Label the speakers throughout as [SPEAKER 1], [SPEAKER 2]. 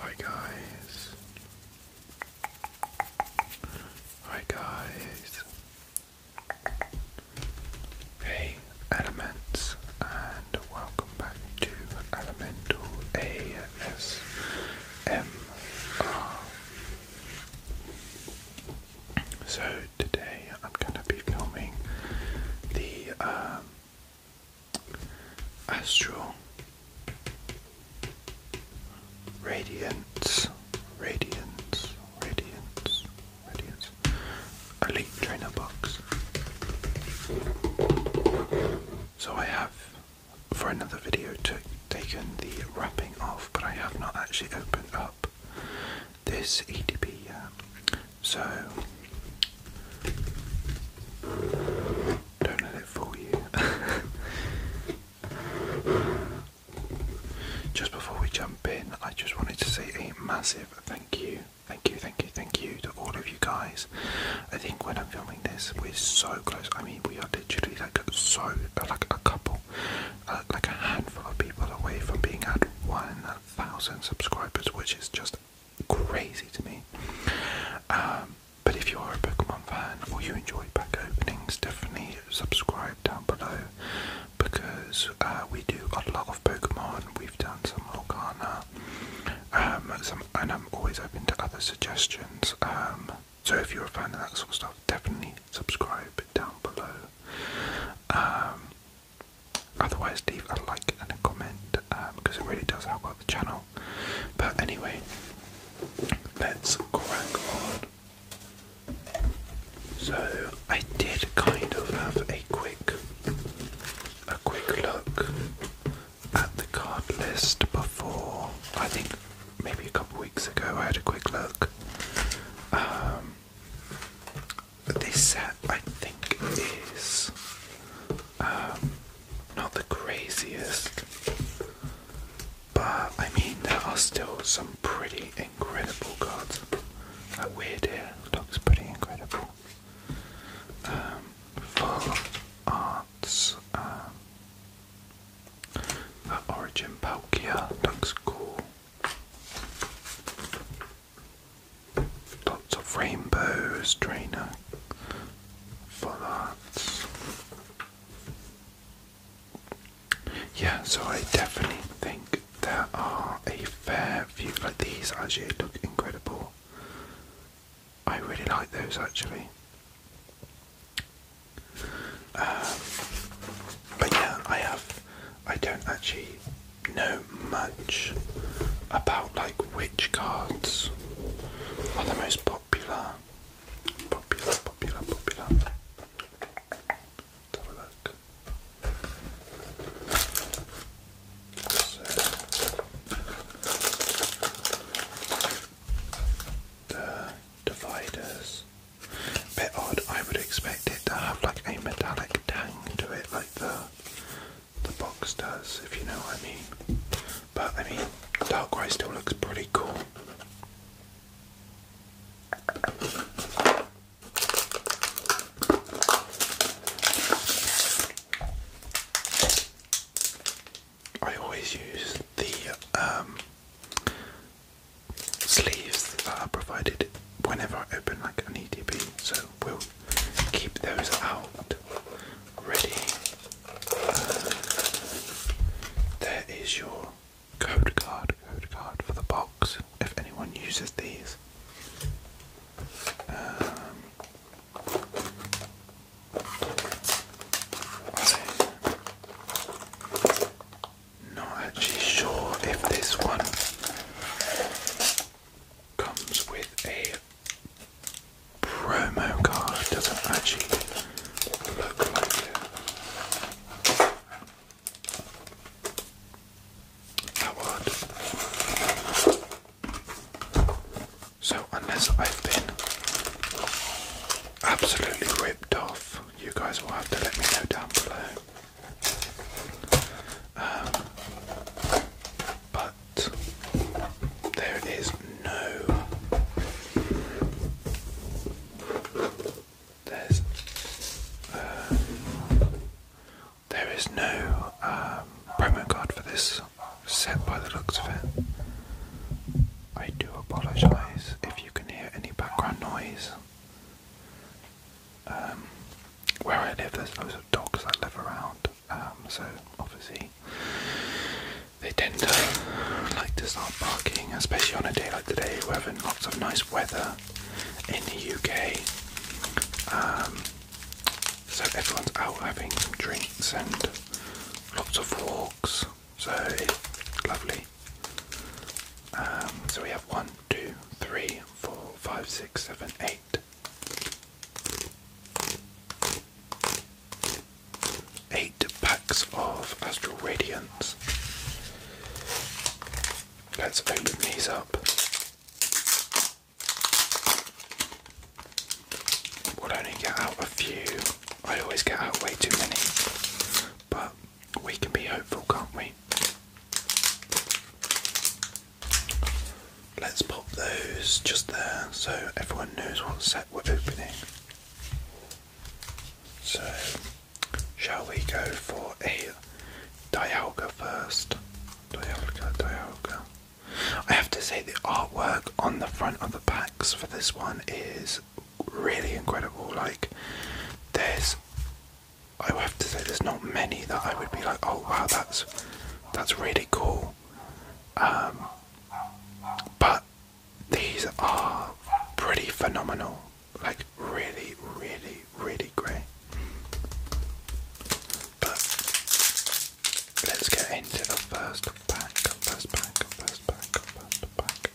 [SPEAKER 1] Hi guys. Hi guys. Hey Elements and welcome back to Elemental ASMR. So today I'm going to be filming the um, Astral Radiance, Radiance, Radiance, Radiance, Elite Trainer Box. So I have, for another video, taken the wrapping off, but I have not actually opened up this EDP. Um, so don't let it fool you. just before we jump in, I just wanted to say a massive thank you. Thank you, thank you, thank you to all of you guys. I think when I'm filming this, we're so close. I mean, we are literally like so, like a couple, uh, like a handful of people away from being at 1,000 subscribers, which is just crazy to me. Um, but if you are a Pokemon fan or you enjoy pack openings, definitely subscribe down below because uh, we do a lot of Pokemon. We've done some Lorcana, um, some, and I'm always open to other suggestions. Um, so if you're a fan of that sort of stuff, definitely subscribe down below. Otherwise, leave a like and a comment because um, it really does help out the channel. But anyway, let's crank on. So I did kind of have a quick, a quick look at the card list before. I think maybe a couple weeks ago I had a quick look. Um, but this set, I think, is um, not the craziest. But I mean, there are still some pretty incredible cards. That weird here looks pretty incredible. Um, full arts. Um, that origin Palkia looks cool. Lots of rainbows, trainer for that, Yeah, so I definitely think there are a fair few like these actually look incredible. I really like those actually. Um, but yeah, I have. I don't actually know much about like which cards are the most popular. Popular, popular, popular. Let's the dividers. Bit odd. I would expect it to have like a metallic tang to it, like the the box does, if you know what I mean. But I mean, dark grey still looks pretty cool. I always use the um, sleeves that are provided whenever I open like an EDB, so we'll keep those out ready. Uh, there is your code card, code card for the box if anyone uses these. Um, not actually sure if this one comes with a promo card. doesn't actually look like it. That would. So unless I've been absolutely ripped off, you guys will have to let me know down below but there is no. There's. Uh, there is no um, promo card for this set by the looks of it. I do apologise if you can hear any background noise. Um, where I live, there's loads of dogs that live around, um, so obviously they tend to like to start barking, especially on a day like today, where we have had lots of nice weather in the UK. Um, so everyone's out having some drinks and lots of walks, so it's lovely. so we have one, two, three, four, five, six, seven, eight, Eight packs of Astral Radiance. Let's open these up. We'll only get out a few. I always get out way too many. But we can be hopeful, can't we? Let's pop those just there so everyone knows what set we're opening. So, shall we go for a Dialga first? Dialga, Dialga. I have to say, the artwork on the front of the packs for this one is really incredible. Like, there's I have to say there's not many that I would be like, oh wow, that's that's really cool. Um, but these are pretty phenomenal, like really, really, really great. But let's get into the first pack, first pack, first pack, first pack.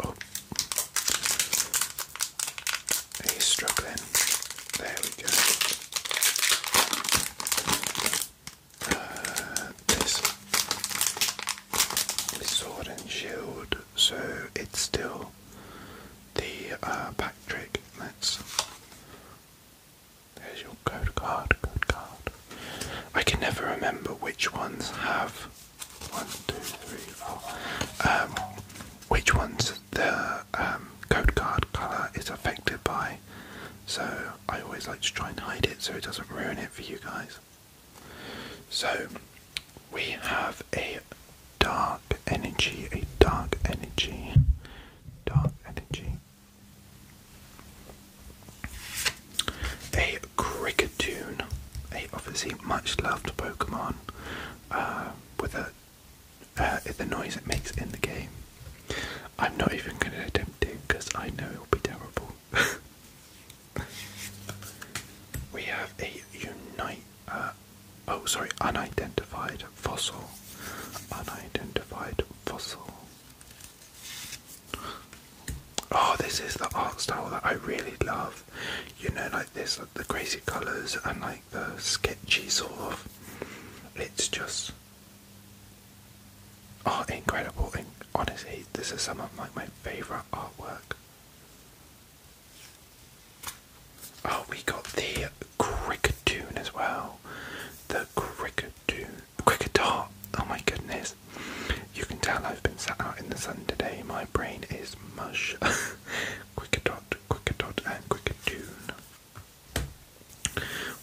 [SPEAKER 1] Oh. He's struggling. There we go. Uh, this is Sword and Shield, so it's still the uh, back trick. Let's. There's your code card, code card. I can never remember which ones have one, two, three, four. Um, which one's the um, code card colour is affected by? So I always like to try and hide it so it doesn't ruin it for you guys. So we have a dark energy, a dark energy, dark energy, a Cricketune, a obviously much loved Pokemon, uh, with a uh, the noise it makes in the game. I'm not even going to attempt it because I know it'll be terrible. we have a unite. Uh, oh, sorry, unidentified fossil. Unidentified fossil oh this is the art style that I really love you know like this like the crazy colours and like the sketchy sort of it's just oh incredible and honestly this is some of like my favourite artwork oh we got the cricket tune as well the cricket tune cricket art oh my goodness you can tell I've been sat out in the sun today. My brain is mush. quicker dot, quicker dot, and quicker tune.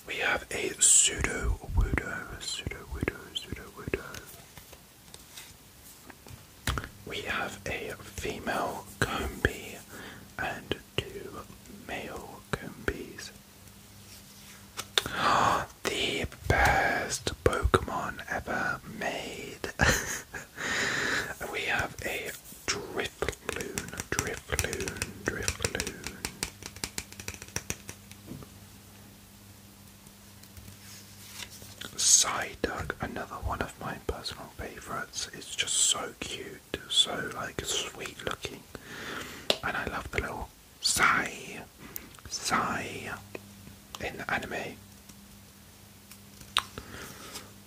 [SPEAKER 1] We have a pseudo wudo, pseudo wudo, pseudo wudo. We have a female combi and two male combies. are the best Pokemon ever made. we have a Drifloon, Drifloon, Drifloon. Psyduck, another one of my personal favourites. It's just so cute, so like sweet looking. And I love the little sigh Sai in anime.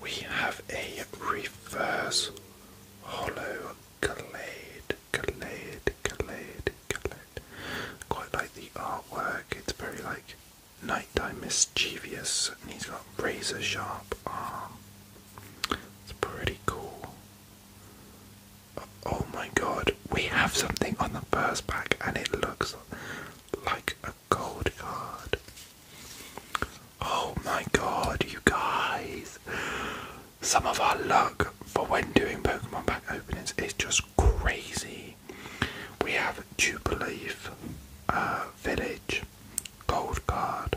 [SPEAKER 1] We have a reverse hollow glade, glade, glade, glade. Quite like the artwork, it's very like nighttime mischievous, and he's got razor sharp arm. It's pretty cool. Oh my god, we have something on the first pack and it looks like a gold card. Oh my god, you guys! Some of our luck for when doing Pokemon pack openings is just crazy. We have Jubileaf, uh, Village, Gold Card.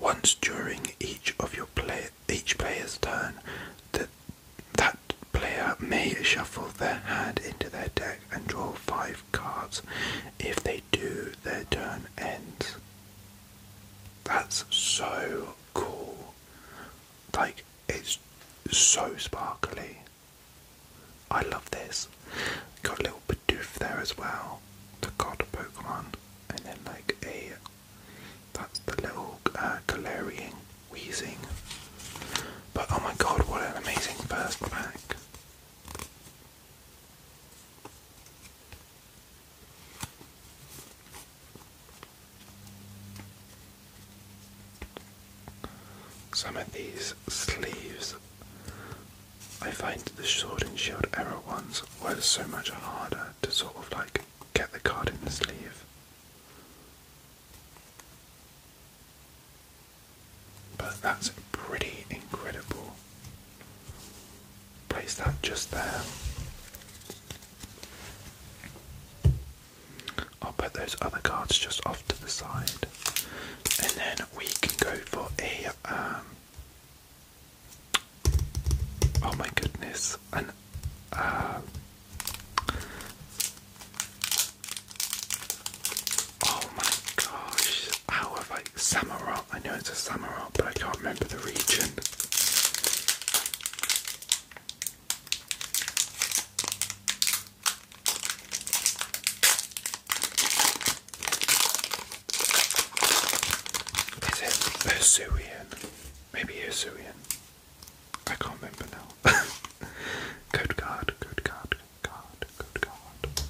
[SPEAKER 1] Once during each of your play each player's turn, the that player may shuffle their hand into their deck and draw five cards. If they do, their turn ends. That's so cool. Like, it's so sparkly. I love this. Got a little Bidoof there as well, the god Pokemon, and then like a that's the little uh, wheezing. But oh my god, what an amazing first pack! Some of these sleeves, I find the sword and shield era ones were so much harder to sort of like get the card in the sleeve. But that's pretty incredible. Place that just there. I'll put those other cards just off to the side, and then we can go for a. Um, oh my goodness, an uh, Oh my gosh, how have I I know it's a Samarot, but I can't remember the region. Is it Usurian? Maybe Usurian. I can't remember now. code card, code card, card, code card.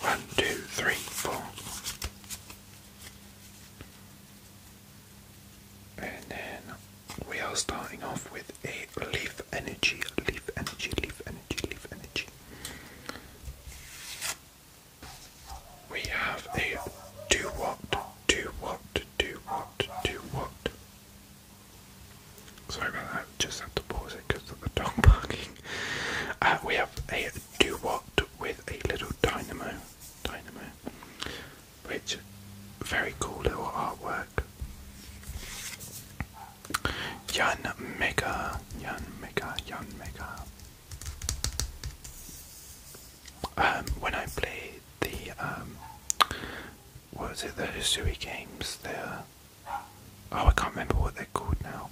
[SPEAKER 1] One, two, three, four. And then we are starting off with a leaf energy, leaf energy, leaf energy, leaf energy. We have a 2 watt do what? Do what? Do what? Sorry about that, just had to pause it because of the dog barking. Uh, we have a do what with a little dynamo, dynamo, which very cool little artwork. Yan Mega, Yan Mega, Yan Mega. Um, when I play played the um, what was it? The Hisui games. they oh, I can't remember what they're called now.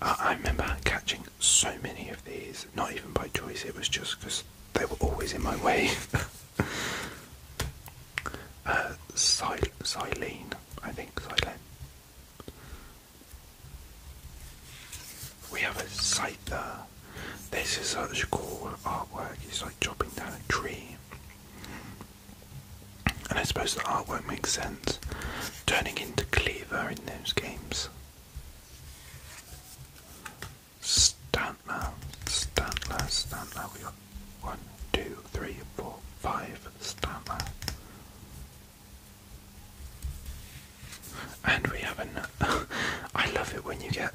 [SPEAKER 1] I remember catching so many of these, not even by choice. It was just because they were always in my way. uh, Silene, I think Silene we have a site there. This is such cool artwork. It's like chopping down a tree. And I suppose the artwork makes sense. Turning into Cleaver in those games. Stantler, Stantler, Stantler. We got one, two, three, four, five Stantler. And we have an. I love it when you get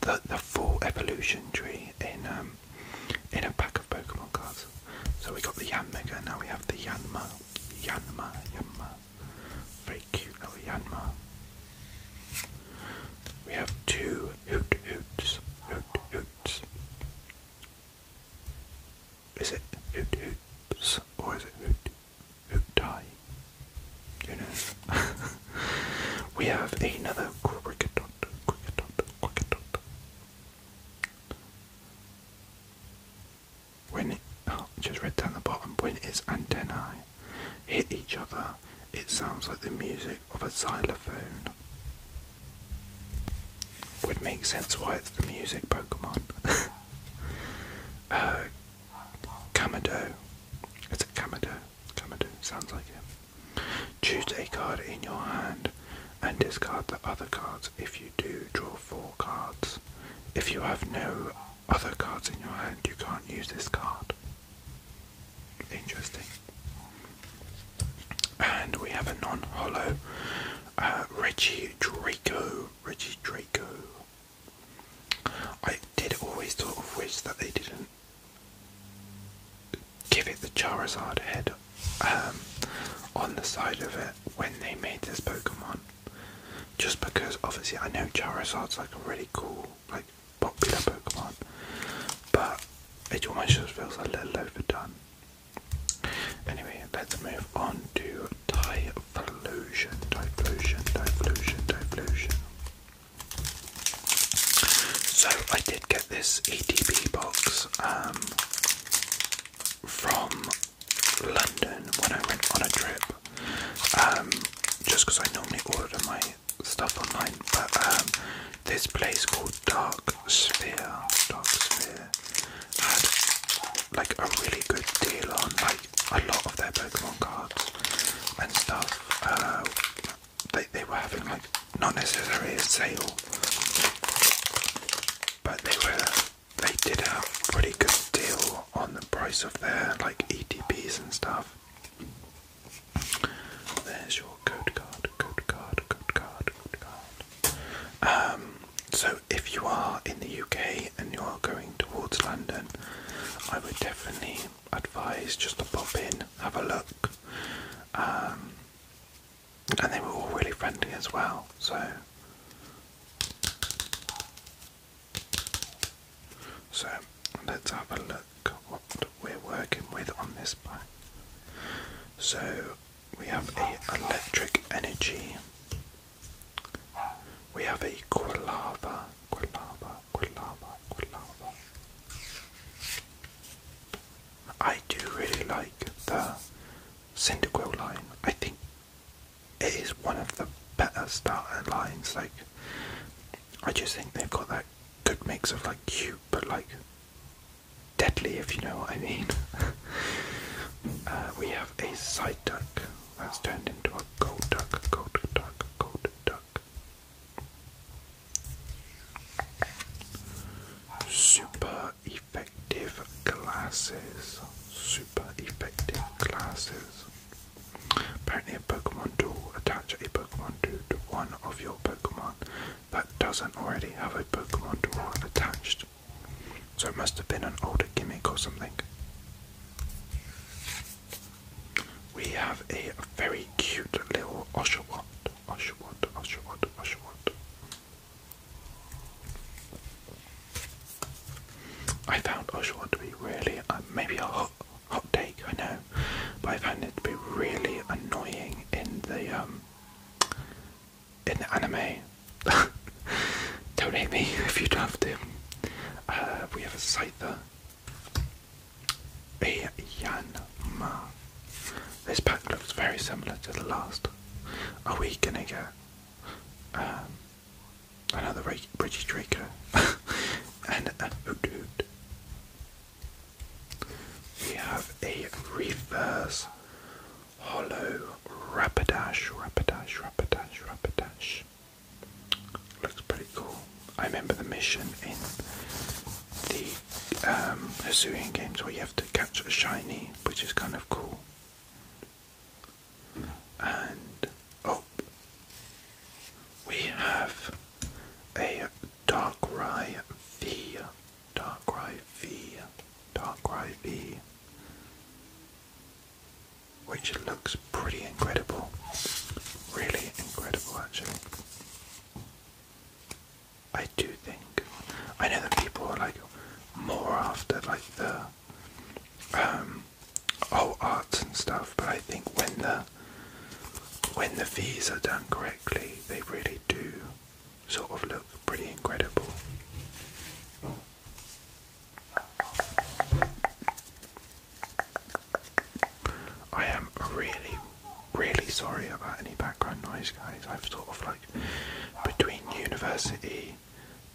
[SPEAKER 1] the, the full evolution tree in um, in a pack of Pokemon cards. So we got the Yanmega, now we have the Yanma, Yanma, Yanma. Very cute little Yanma. We have two Hoot Hoots, Hoot Hoots. Is it Hoot Hoots or is it Hoot who die. Who knows? we have another cricket dot, cricket dot, cricket dot. When it, oh, just read down the bottom, when its antennae hit each other, it sounds like the music of a xylophone. Would make sense why it's the music Pokemon. uh, Kamado. It's a Kamado. Kamado sounds like it. Choose a card in your hand and discard the other cards. If you do, draw four cards. If you have no other cards in your hand, you can't use this card. Interesting. And we have a non-hollow uh, Reggie Draco. Reggie Draco. I did always sort of wish that they didn't give it the Charizard head um, on the side of it when they made this Pokemon. Just because obviously I know Charizard's like a really cool, like popular Pokemon, but it almost just feels a little overdone. Anyway, let's move on to Typhlosion, Typhlosion, Typhlosion, Typhlosion. So I did get this EDP box um, from London when I went on a trip. Um, just because I normally order my stuff online, but um, this place called Dark Sphere, Dark Sphere had like a really good deal on like a lot of their Pokemon cards and stuff. Uh, they they were having like not necessarily a sale, but they were they did a pretty good deal on the price of their like ETPs and stuff. There's your code card, code card, code card, code card. Um, so if you are in the UK and you're going towards London, I would definitely advise just to pop in, have a look. Um, and they were all really friendly as well, so. So let's have a look what we're working with on this bike. So we have a electric energy. We have a Quilava, Quilava, I do really like the Cyndaquil line. I think it is one of the better starter lines. Like, I just think they've got that good mix of like cute but like deadly, if you know what I mean. Uh, we have a side duck that's turned into a gold duck, gold duck, gold duck. Super effective glasses. Super effective glasses. Apparently, a Pokemon tool attach a Pokemon to one of your Pokemon that doesn't already have a Pokemon tool attached. So it must have been an older gimmick or something we have a very cute little Oshawott. Oshawott, Oshawott, Oshawott. I found Oshawott to be really, uh, maybe a hot, hot take, I know, but I found it to be really annoying in the, um, in the anime. Donate me if you'd have to. Uh, we have a fighter This pack looks very similar to the last. Are we gonna get another British Draco and a Hoot um, We have a reverse hollow Rapidash, Rapidash, Rapidash, Rapidash. Looks pretty cool. I remember the mission in the um, games where you have to catch a shiny, which is kind of cool. And oh, we have a Darkrai V, Darkrai V, Darkrai V which looks pretty incredible. Really incredible, actually. I do think. I know that people are like more after like the um, old arts and stuff, but I think when the when the V's are done correctly, they really do sort of look pretty incredible. I am really, really sorry about any background noise, guys. I've sort of like between university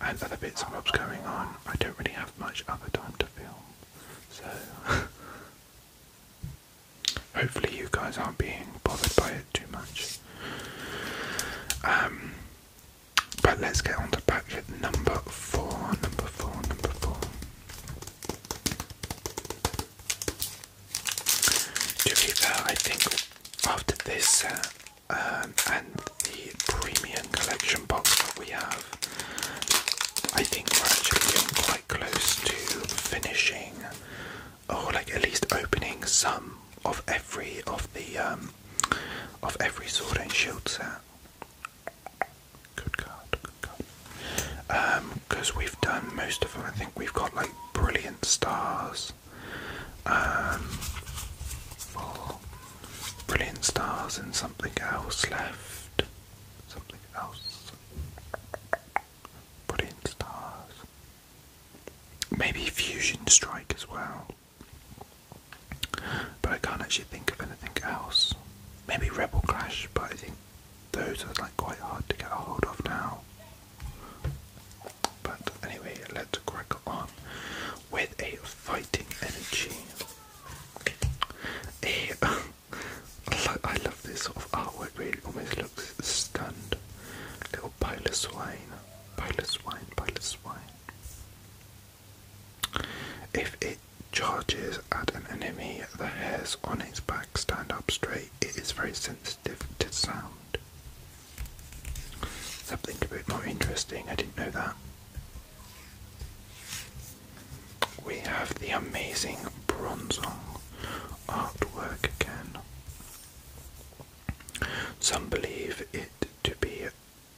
[SPEAKER 1] and other bits and bobs going on, I don't really have much other time to film. So. Hopefully, you guys aren't being bothered by it too much. Um, but let's get on to packet number four, number four, number four. To be fair, I think after this set uh, um, and the premium collection box that we have, I think we're actually getting quite close to finishing, or like at least opening some of every of the um, of every sword and shield set. Good card, good card. Because um, we've done most of them, I think we've got like brilliant stars. Um, brilliant stars and something else left. Something else. Brilliant stars. Maybe fusion strike as well. But I can't actually think of anything else. Maybe Rebel Clash, but I think those are like quite hard to get a hold of now. But anyway, let's crack on with a fighting energy. A I love this sort of artwork, it really almost looks stunned. Little pile of swine, pile of swine, pile of swine. If it charges at an enemy, the hairs on its back stand up straight. It is very sensitive to sound. Something a bit more interesting, I didn't know that. We have the amazing Bronzong artwork again. Some believe it to be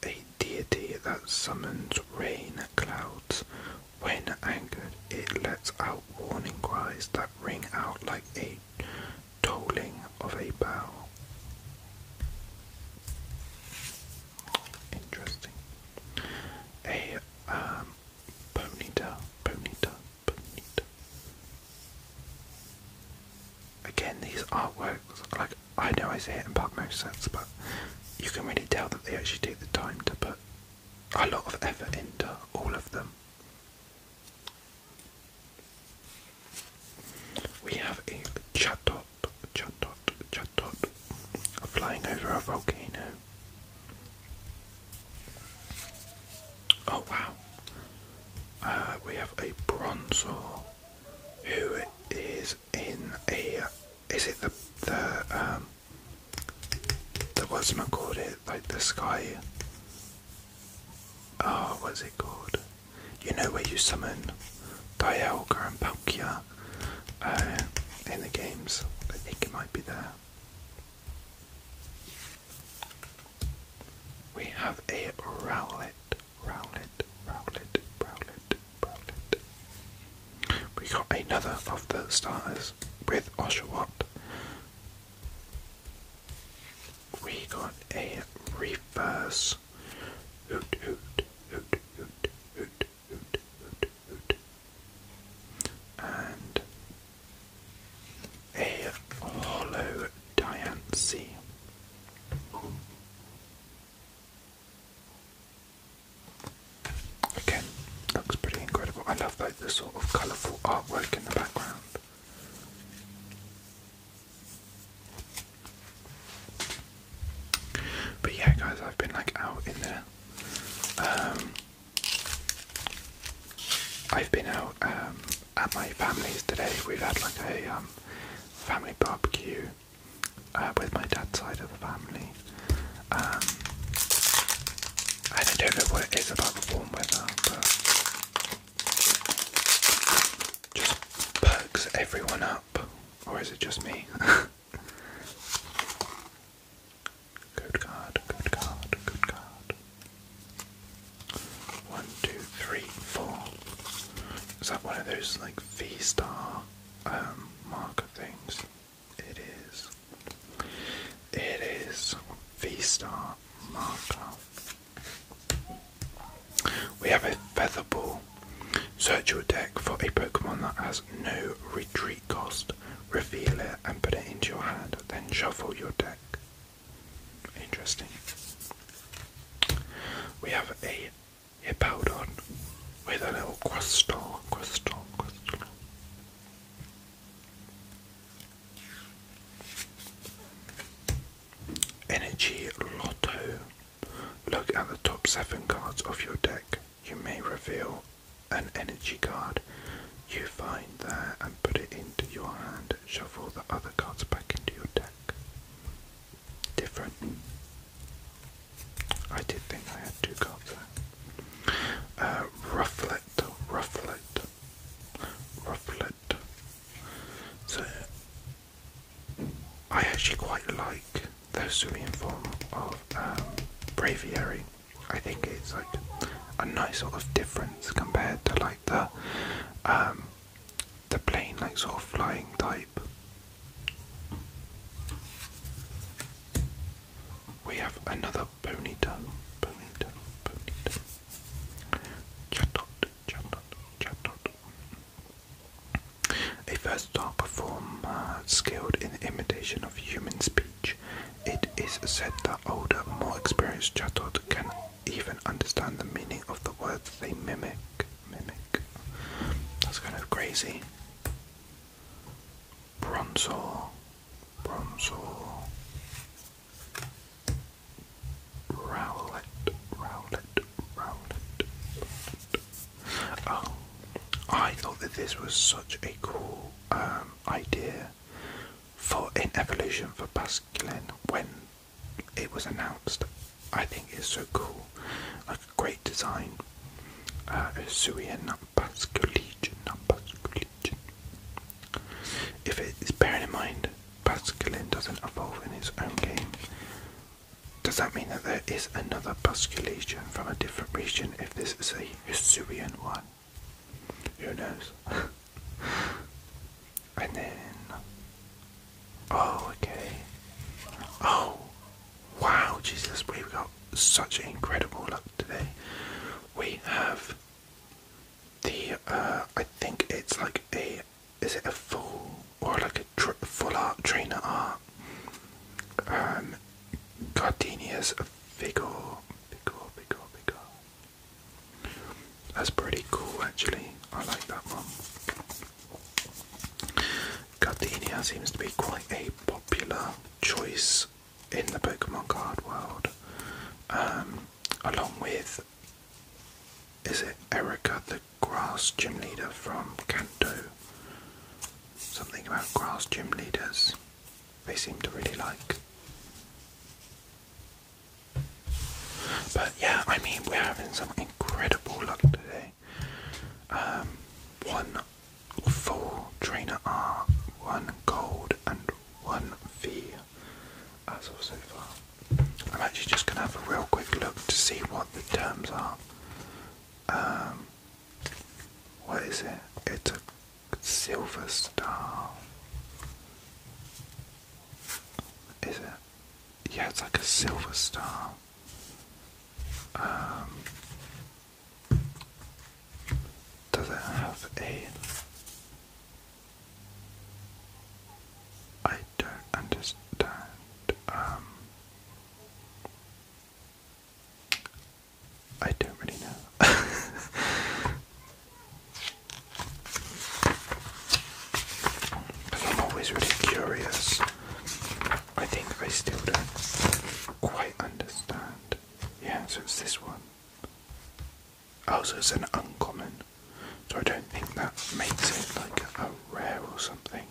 [SPEAKER 1] a deity that summons rain clouds. When angered, it lets out warning cries that ring out like a tolling of a bell. Interesting. A ponytail, um, ponytail, ponytail. Again, these artworks, like I know I say it in bug most sense, but you can really tell that they actually take the time to put a lot of effort into all of them. We have a chatot, chatot, chatot flying over a volcano. Oh wow! Uh, we have a bronzor who is in a. Is it the the um the what's my called it like the sky? Oh, ah, was it called? You know where you summon Dialga and Palkia uh, in the games. I think it might be there. We have a Rowlet. Rowlet, Rowlet, Rowlet, Rowlet. We got another of the starters with Oshawott. We got a reverse hoot hoot hoot hoot hoot hoot hoot hoot and a hollow Diancie. Again, looks pretty incredible. I love like the sort of colourful artwork in the background. But yeah, guys, I've been like out in there. Um, I've been out um, at my family's today. We've had like a um, family barbecue. Uh, with my dad's side of the family. Um, and I don't know what it is about the warm weather, but just perks everyone up. Or is it just me? good card, good card, good card. One, two, three, four. Is that one of those like V star um, mar things. It is. It is V-Star marker. We have a feather ball. Search your deck for a Pokemon that has no retreat cost. Reveal it and put it into your hand. Then shuffle your deck. Interesting. We have a Hippodon with a little crystal, crystal, crystal. Energy Lotto. Look at the top seven cards of your deck. You may reveal an energy card. You find there and put it into your hand. Shuffle the other cards back into your deck different. I did think I had two cards uh, rufflet, rufflet, rufflet. So I actually quite like the Hisuian form of um, Braviary. I think it's like a nice sort of difference compared to like the um, the plane like sort of flying type. We have another Ponyta, Ponyta, Ponyta. Chatot, Chatot, Chatot. A versatile performer uh, skilled in imitation of human speech. It is said that older, more experienced Chatot can even understand the meaning of the words they mimic. Mimic. That's kind of crazy. Bronzor. Bronzor. Rowlet. Rowlet. Rowlet. Oh. I thought that this was such a cool um, idea for an evolution for Basculin when it was announced. I think it's so cool, a great design. Uh, Usuia Legion. If it is bearing in mind, Basculin doesn't evolve in his own game. Does that mean that there is another Basculation from a different region if this is a Hisuian one? Who knows? and then Oh, okay. Oh, wow, Jesus, we've got such incredible luck today. We have the, uh, I think it's like a, is it a full or like a full art trainer art? Um, Gardenia's figure, figure, figure, figure. That's pretty cool, actually. I like that one. Gardenia seems to be quite a popular choice in the Pokemon card world, um, along with is it Erica the grass gym leader from Kanto? Something about grass gym leaders they seem to really like. But yeah, I mean, we're having some incredible luck today. Um, one full trainer R, one gold, and one V as of so far. I'm actually just going to have a real quick look to see what the terms are. Um, what is it? It's a silver star. Is it? Yeah, it's like a silver star. Um, does it have a? I don't understand. Um, I don't really know. I'm always really curious. I think I still don't quite understand. Yeah, so it's this one. Also, oh, it's an uncommon. So I don't think that makes it like a rare or something.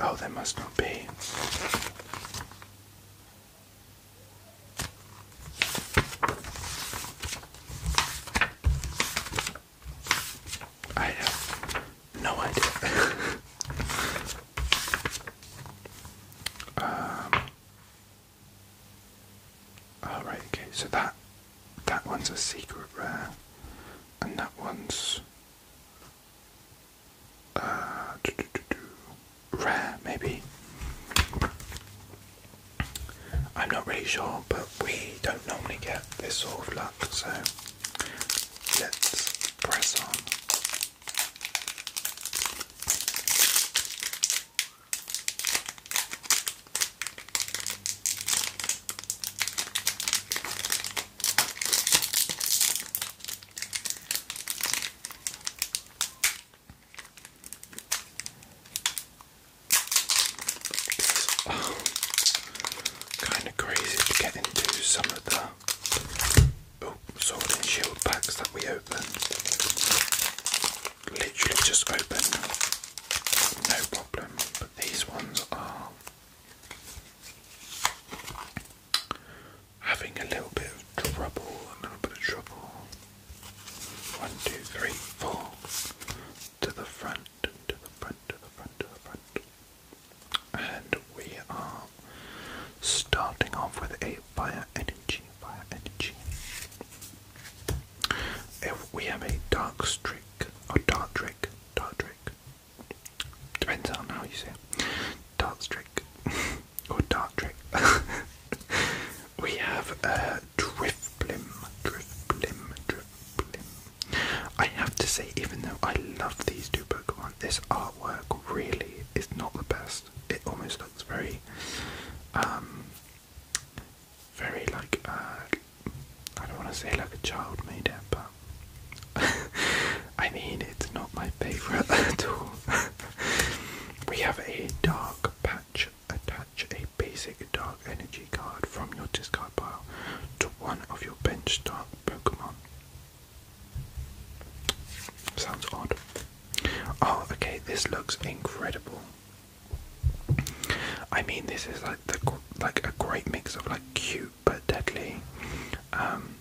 [SPEAKER 1] Oh, there must not be. I have no idea. Um, all right, okay. So that that one's a secret rare, and that one's uh, rare maybe. I'm not really sure, but we don't normally get this sort of luck, so let's press on. kind of crazy to get into some of the oh, sword and shield packs that we open. Literally just open, no problem. But these ones are having a little bit of trouble, a little bit of trouble. One, two, three, four to the front to the front, to the front, to the front. And we are starting off with a fire energy, fire energy. If we have a dark streak, or dark trick, dark trick. Depends on how you say it. Dark streak, or dark trick. we have uh, Drifblim, Drifblim, Drifblim. I have to say, even though I love these two Pokemon, this artwork really is not the best. It almost looks very, um, very like, uh, I don't want to say like a child made it, but I mean, it's not my favourite at all. we have a dark patch attach a basic dark energy card from your discard pile to one of your bench dark Pokemon. Sounds odd. Oh, okay, this looks incredible. I mean, this is like the like a great mix of like cute but deadly. Um,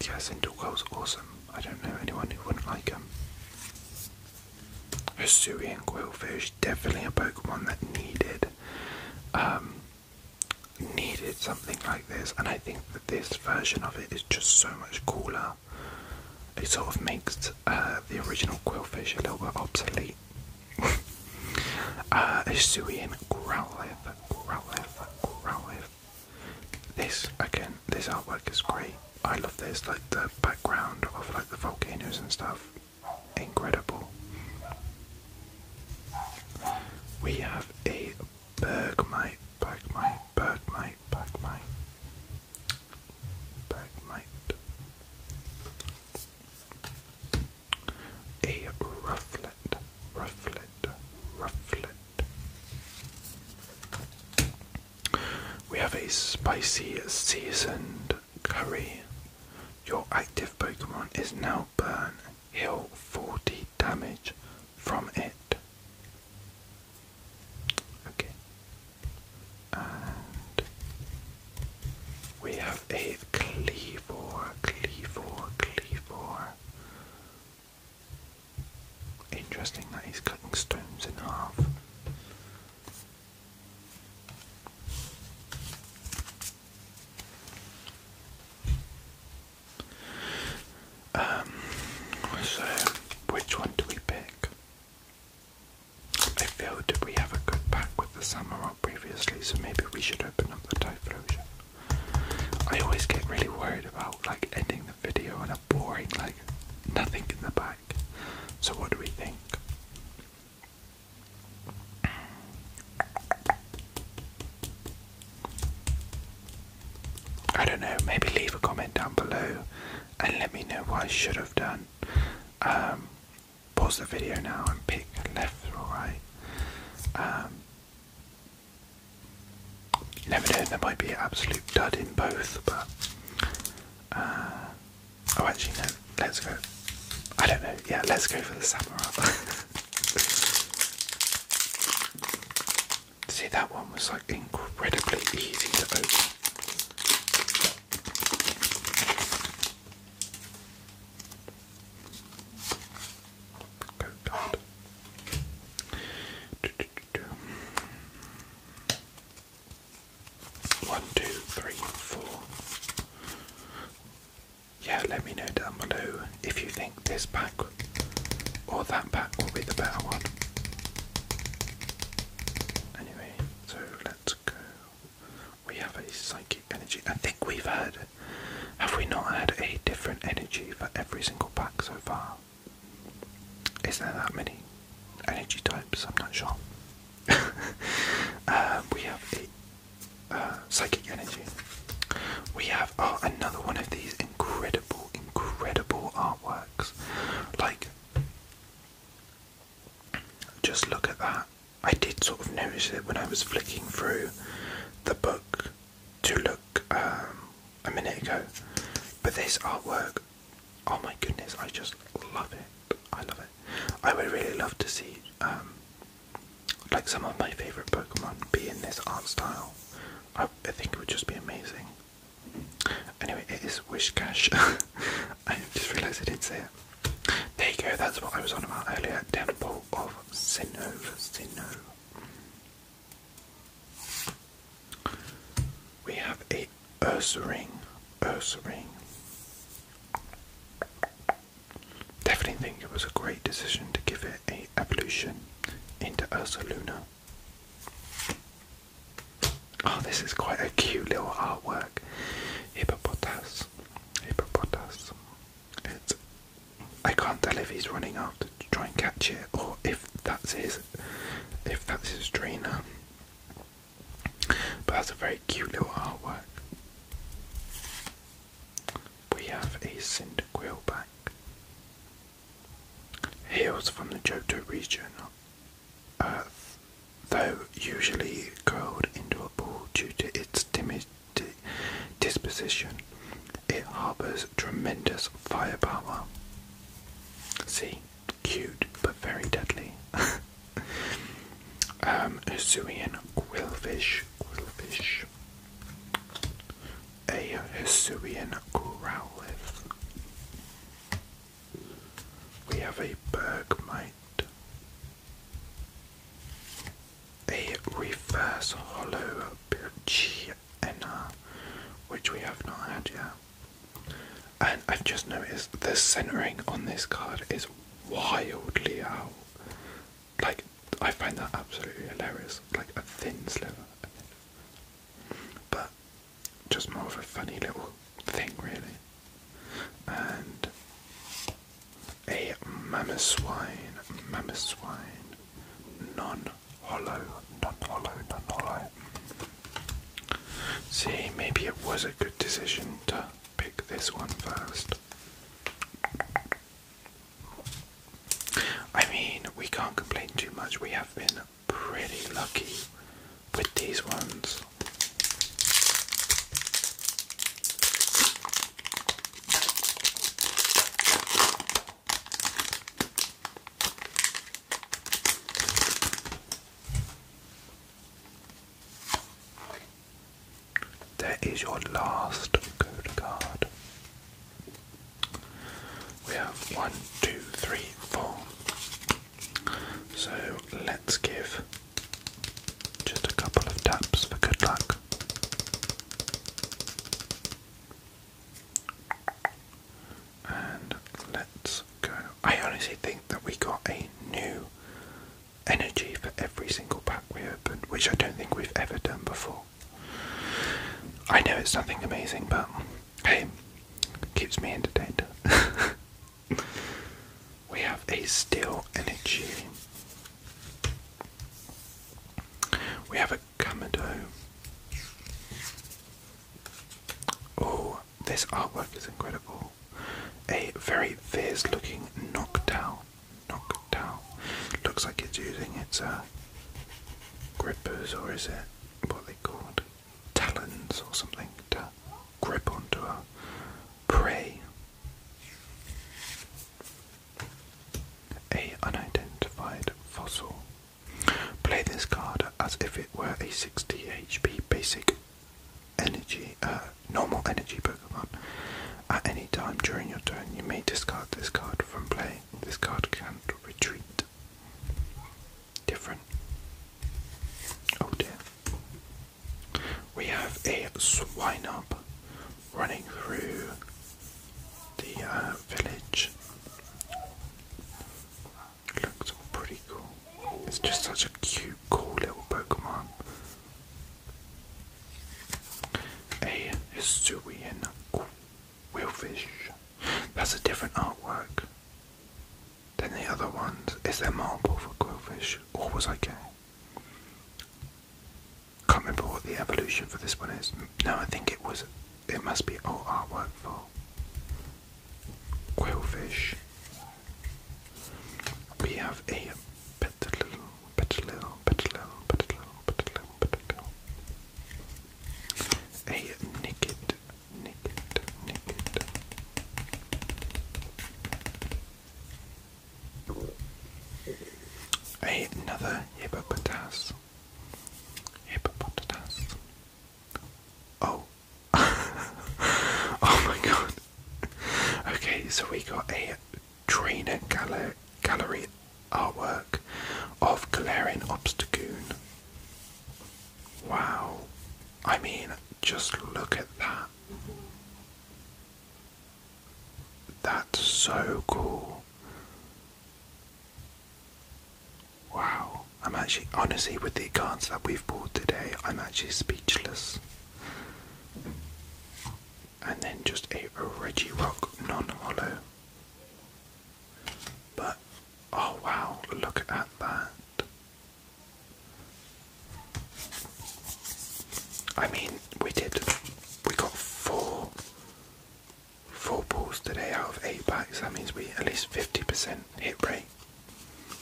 [SPEAKER 1] yeah, Cinderquill's awesome. I don't know anyone who wouldn't like him. Hisuian Quillfish, definitely a Pokemon that needed um needed something like this and I think that this version of it is just so much cooler. It sort of makes uh, the original Quillfish a little bit obsolete. uh, Growlithe, Growlithe, Growlithe. This, again, this artwork is great. I love this, like the background of like the volcanoes and stuff incredible. We have a Bergmite, Bergmite, Bergmite, Bergmite, Bergmite, a Rufflet, Rufflet, Rufflet. We have a spicy seasoned Curry. Your active Pokemon is now Burn. Heal 40 damage from it. Okay. we have a Cleavor, Cleavor, Cleavor. Interesting that he's cutting stones in half. Um, so, which one do we pick? I feel that we have a good pack with the Samurott previously, so maybe we should open up the Typhlosion. I always get really worried about like ending the video on a boring, like, nothing in the back. So, what do we think? I don't know, maybe leave a comment down below and let me know what I should have done. Um, pause the video now and pick left or right. Um, never know, there might be absolute dud in both, but uh, Oh, actually, no. Let's go. I don't know. Yeah, let's go for the samurai. See, that one was like incredibly easy to open. Good God. One, two, three, four. Yeah, let me know down below if you think this pack or that pack will be the better one. Anyway, so let's go. We have a psychic energy. I think we've had. Have we not had a different energy for every single pack so far? Is there that many? energy types, I'm not sure. Um, we have uh, psychic energy. We have oh, another one of these incredible, incredible artworks. Like, just look at that. I did sort of notice it when I was flicking through the book to look um, a minute ago, but this artwork Oh my goodness, I just love it. I love it. I would really love to see um, like some of my favorite Pokemon be in this art style. I, I think it would just be amazing. Anyway, it is Wishcash. I just realised I didn't say it. There you go, that's what I was on about earlier. Temple of Sinnoh. Sinnoh. We have a Ursa ring, Ursa ring. Definitely think it was a great decision to give it a evolution into Ursa Luna. Oh, this is quite a cute little artwork. Hippopotas, hippopotas. It's. I can't tell if he's running after to try and catch it, or if that's his, if that's his trainer. But that's a very cute little artwork. We have a Cinder Cyndaquil back. Heals from the Johto region, uh, though usually curled into a ball due to its timid disposition. It harbours tremendous firepower. See, cute but very deadly. um, Hisuian grillfish, grillfish. A Hisuian growlith. We have a bergmite. A reverse hollow Birchienna, which we have not had yet. And I've just noticed the centering on this card is wildly out. Like, I find that absolutely hilarious. Like a thin sliver. But just more of a funny little thing, really. And a mammoth swine, mammoth swine, non hollow, non hollow, non hollow. See, maybe it was a good decision to pick this one first. I mean, we can't complain too much. We have been pretty lucky with these ones. There is your last good card. We have one, two, three, four. So let's give just a couple of taps for good luck. And let's I honestly think that we got a new energy for every single pack we opened, which I don't think we've ever done before. I know it's nothing amazing, but hey, keeps me entertained. we have a steel energy. We have a Kamado. Oh, this artwork is incredible. A very fierce looking Noctowl. Noctowl. Looks like it's using its uh, grippers, or is it what they called? Talons or something to grip onto a prey. A unidentified fossil. Play this card as if it were a 60 HP basic energy, uh, normal energy Pokemon. At any time during your turn, you may discard this card from play. This card can not retreat. Different. Oh dear. We have a swine up running through the uh, village looks all pretty cool. It's just such a cute, cool little Pokemon. A Hisuian Willfish. That's a different artwork than the other ones. Is there more for Quillfish? Or was I Can't remember what the evolution for this one is. No, I think it was. It must be all artwork for quailfish. We have a petalil, petalil, petalil, petalil, petalil, petalil. A naked, naked, naked. another hippopotamus. Hippopotamus. Oh, oh my god. Okay, so we got a trainer gallery artwork of Galarian Obstagoon. Wow. I mean, just look at that. That's so cool. Wow, I'm actually, honestly, with the cards that we've bought today, I'm actually speechless. And then just a, Reggie Rock non hollow. But, oh wow, look at that. I mean, we did, we got four, four balls today out of eight packs. That means we at least 50% hit rate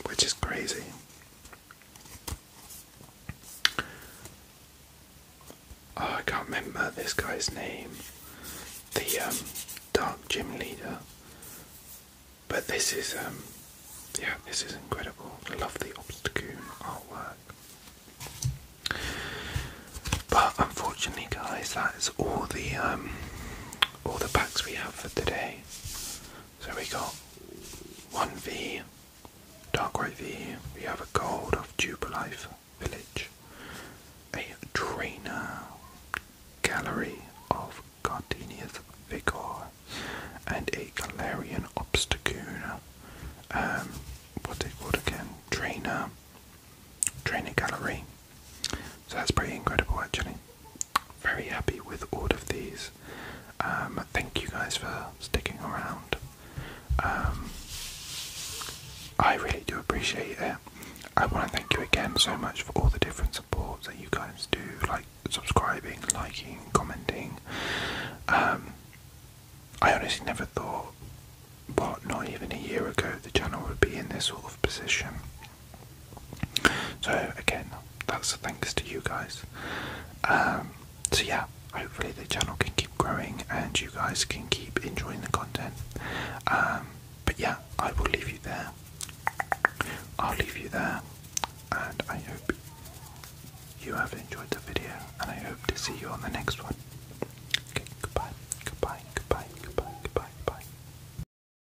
[SPEAKER 1] which is crazy. Oh, I can't remember this guy's name, the um, dark gym leader. But this is, um, yeah, this is incredible. I love the Obstacoon artwork. But unfortunately, guys, that is all the um, all the packs we have for today. So we got one V, Darkrai V, we have a gold of Jubilife Village, a trainer, gallery of Gardenia's Vigor, and a Galarian Obstacoon. Um, what's it called again? Trainer, Trainer Gallery, so that's pretty incredible, actually. Very happy with all of these. Um, thank you guys for sticking around. Um, I really do appreciate it. I want to thank you again so much for all the different supports that you guys do, like subscribing, liking, commenting. Um, I honestly never thought, what, not even a year ago, the channel would be in this sort of position. So again, that's thanks to you guys. Um, so yeah, hopefully the channel can keep growing and you guys can keep enjoying the content. Um, but yeah, I will leave you there. I'll leave you there, and I hope you have enjoyed the video, and I hope to see you on the next one. goodbye, goodbye, goodbye, goodbye, goodbye, goodbye.